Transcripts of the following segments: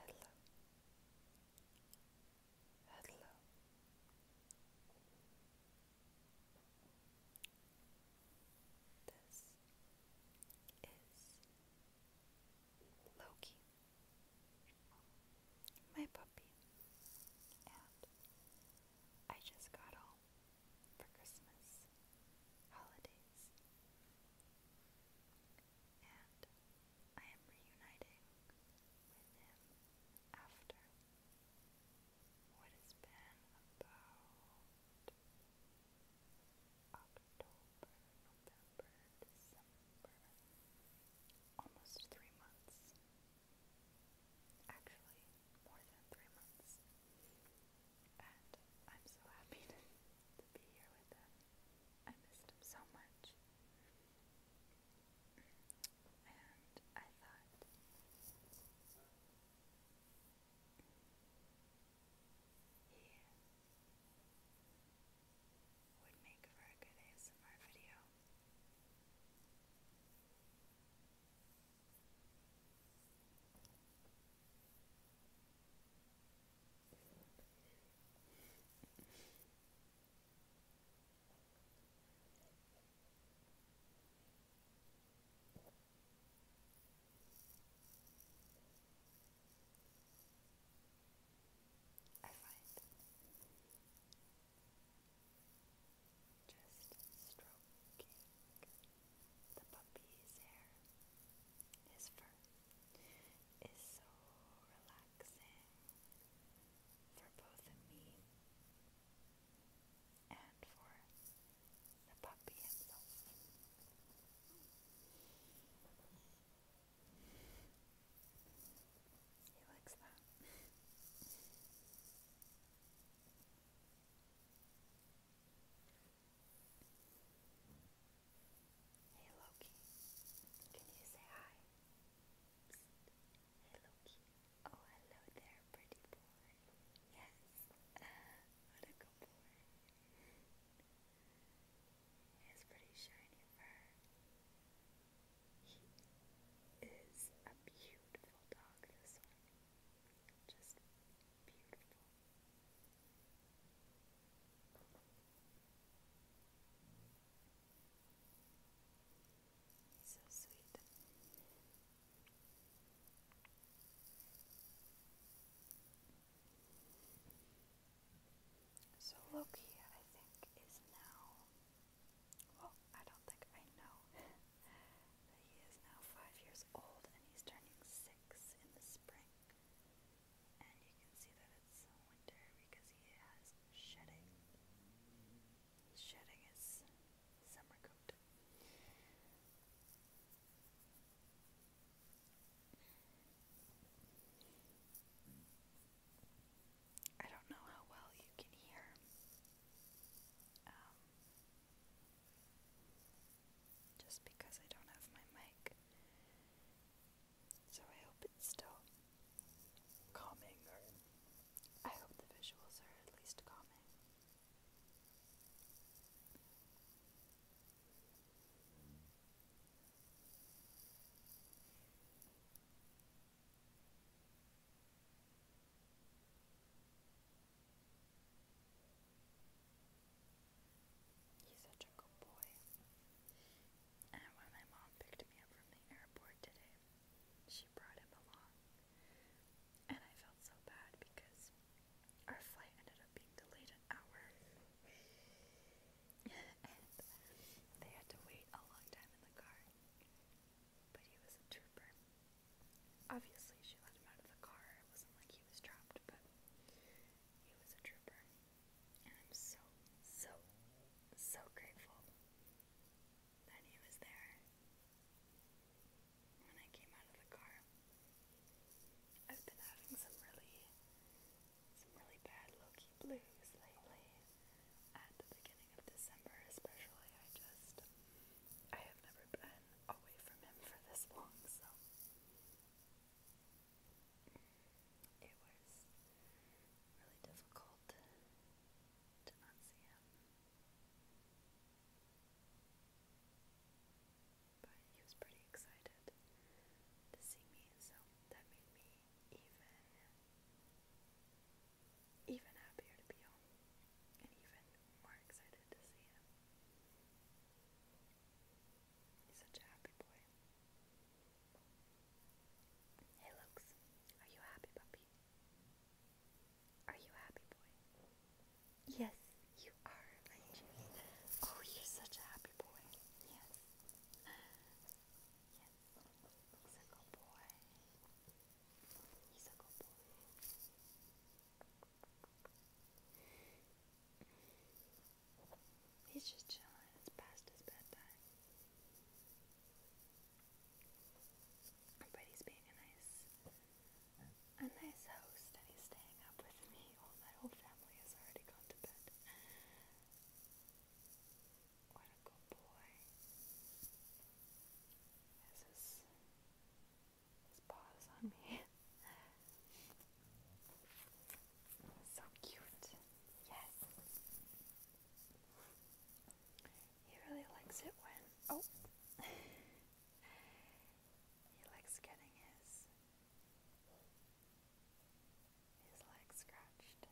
Hello. Hello. This is Loki my puppy. And I just got home for Christmas holidays. And I am reuniting with him after what has been about October, November, December, almost three months Actually, more than three months. And I'm so happy to, be here with him. I missed him so much. And I thought. He would make for a good ASMR video. I find just stroking the puppy's hair. His fur is so relaxing for both me and for the puppy himself. He likes that. hey Loki, can you say hi? Hey Loki. Oh, hello there, pretty boy. Yes. what a good boy his pretty shiny fur. He is a beautiful dog, this one. Just beautiful. so sweet. So Loki, I think, is now. Well, I don't think I know that he is now five years old and he's turning six in the spring. And you can see that it's winter because he has shedding. He's shedding his summer coat. I don't know how well you can hear. Um, just because I don't have my mic. So I hope it's still calming, I hope the visuals are at least calming. He's such a good boy. And when my mom picked me up from the airport today, she brought him along. And I felt so bad because our flight ended up being delayed an hour and they had to wait a long time in the car. But he was a trooper. Obviously, she let him out of the car. It wasn't like he was trapped, but he was a trooper. And I'm so, so, so grateful that he was there when I came out of the car. I've been having some really some really bad low-key blues lately. At the beginning of December especially, I just, I have never been away from him for this long, so. It was really difficult to, not see him but he was pretty excited to see me, so that made me even even happier to be home and even more excited to see him. He's such a happy boy. Hey Lux, are you happy puppy? Are you happy boy? Yes, you are, my Oh, you're such a happy boy. Yes. Yes. He's boy. He's just chilling. It's past his bedtime. But he's being nice a nice host and he's staying up with me while my whole family has already gone to bed. What a good boy. Has his, his paws on me. so cute. Yes. He really likes it when. Oh! He likes getting his his leg scratched.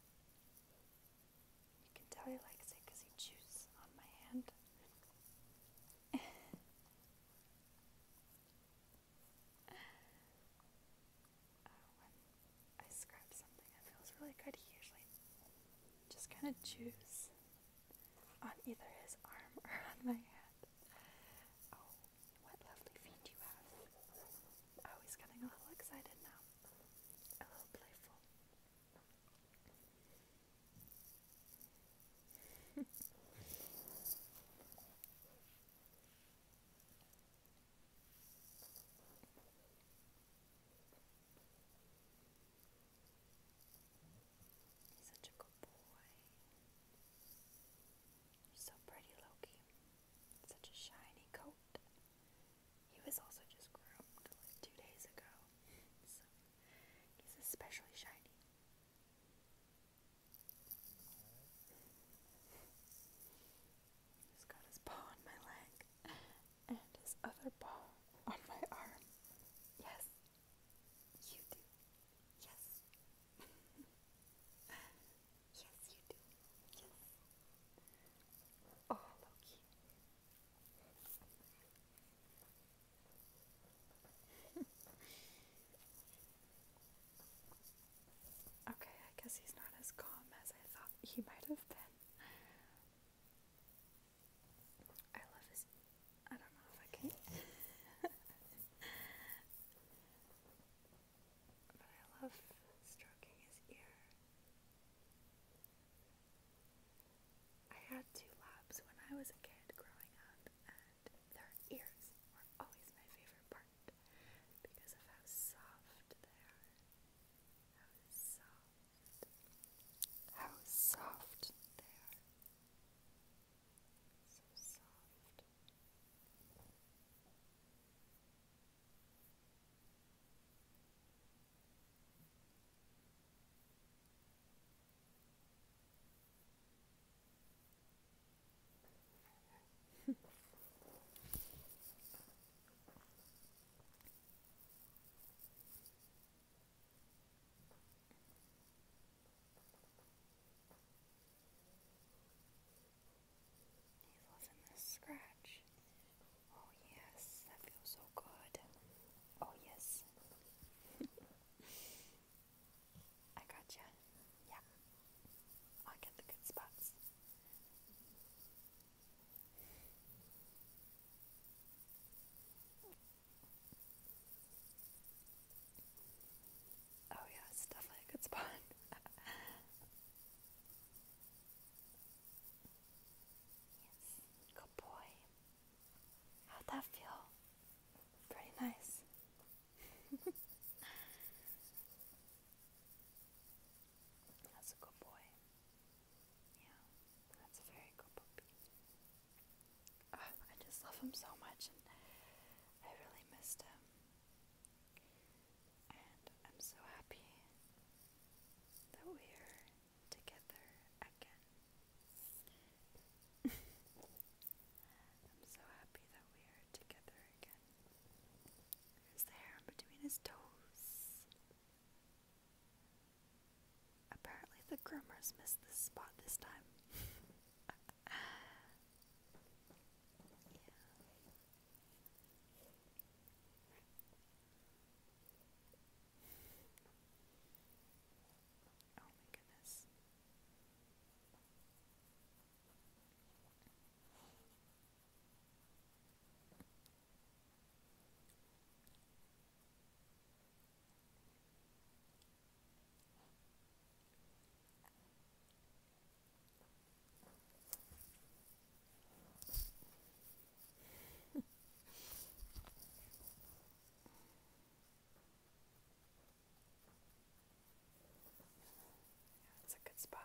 You can tell he likes it he chews on my hand. Uh, when I scratch something that feels really good, he usually just kind of chews on either his arm or on my head. Oh, what lovely feet you have. Oh, he's getting a little excited now. A little playful. He's such a good boy. so pretty, Loki. Such a shiny coat. He was also just groomed like two days ago, so he's especially shiny. He's got his paw on my leg and his other paw on my arm. Yes, you do. Yes. yes, you do. Yes. Oh, Loki. okay, I guess he's not as calm as I thought he might have been. I love this. I don't know if I can. but I love stroking his ear. I had two labs when I was a kid growing up, and their ears were always my favorite part because of how soft they are. How soft they are. So soft. He's loving this scratch. Oh, yes, that feels so good. Oh, yes. I gotcha. Yeah. I'll get the good spots. Oh yeah, it's definitely a good spot. yes, good boy. How'd that feel? Pretty nice. That's a good boy. Yeah, that's a very good puppy. Ah, I just love him so much, and I really missed him. And I'm so happy that we're together again. I'm so happy that we are together again. There's the hair between his toes. Apparently, the groomers missed the spot this time. Oh my goodness. That's a good spot.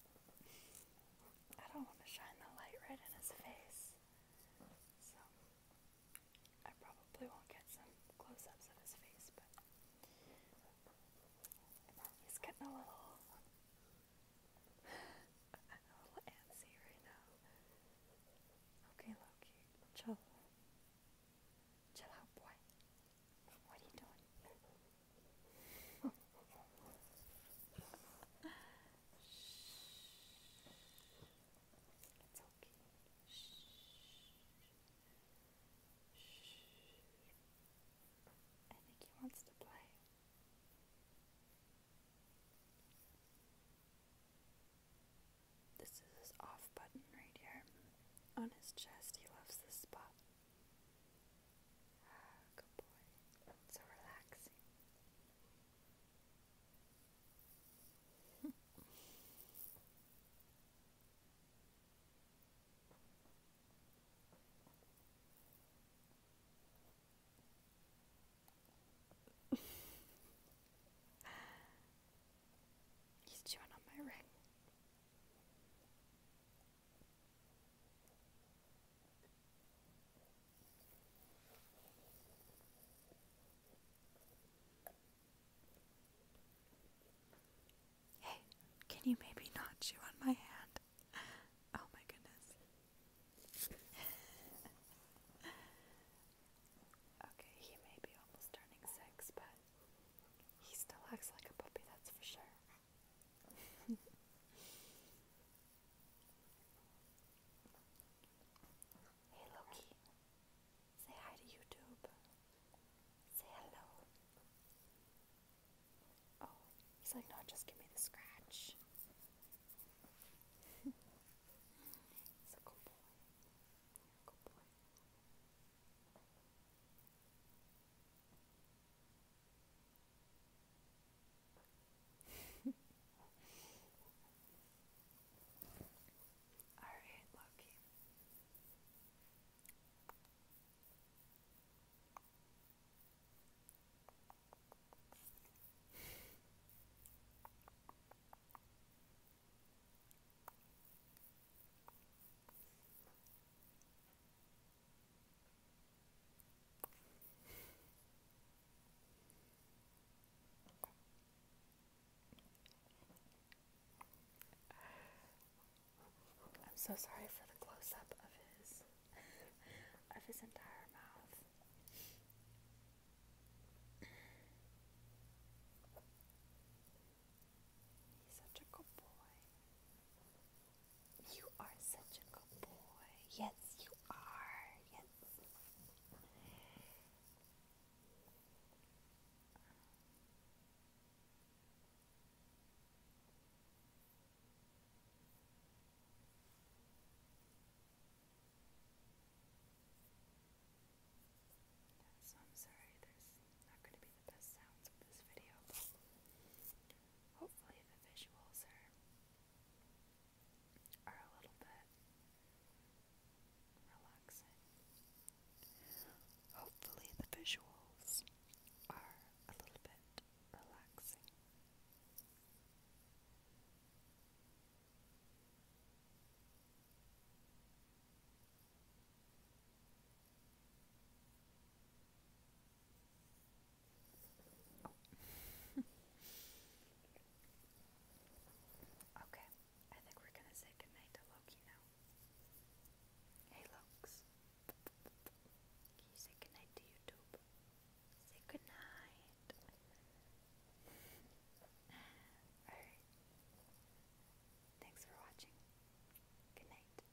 I don't want to shine the light right in his face. So I probably won't get some close ups of his face, but he's getting a little a little antsy right now. Okay, Loki, chill. Chill out, boy. What are you doing? It's okay. Shh. Shh. I think he wants to play. This is his off button right here. On his chest, he loves this spot. Ah, good boy. So relaxing. He's chewing on my ring. Hey, can you maybe not chew on my hand? Oh my goodness. okay, he may be almost turning six, but he still acts like a puppy, that's for sure hey Loki, say hi to YouTube. Say hello. Oh, he's like, no, just give me the scratch. he's a cool boy. Cool boy. All right, Loki. I'm so sorry for the close up of his of his entire mouth. You are such a good boy. Yes, you are. Yes. So I'm sorry, there's not going to be the sounds of this video, hopefully the visuals are are a little bit relaxing. Hopefully the visuals are a little bit relaxing. okay, I think we're gonna say goodnight to Loki now. Hey, Lokes. Can you say goodnight to YouTube? Say goodnight. Alright. Thanks for watching. Good night.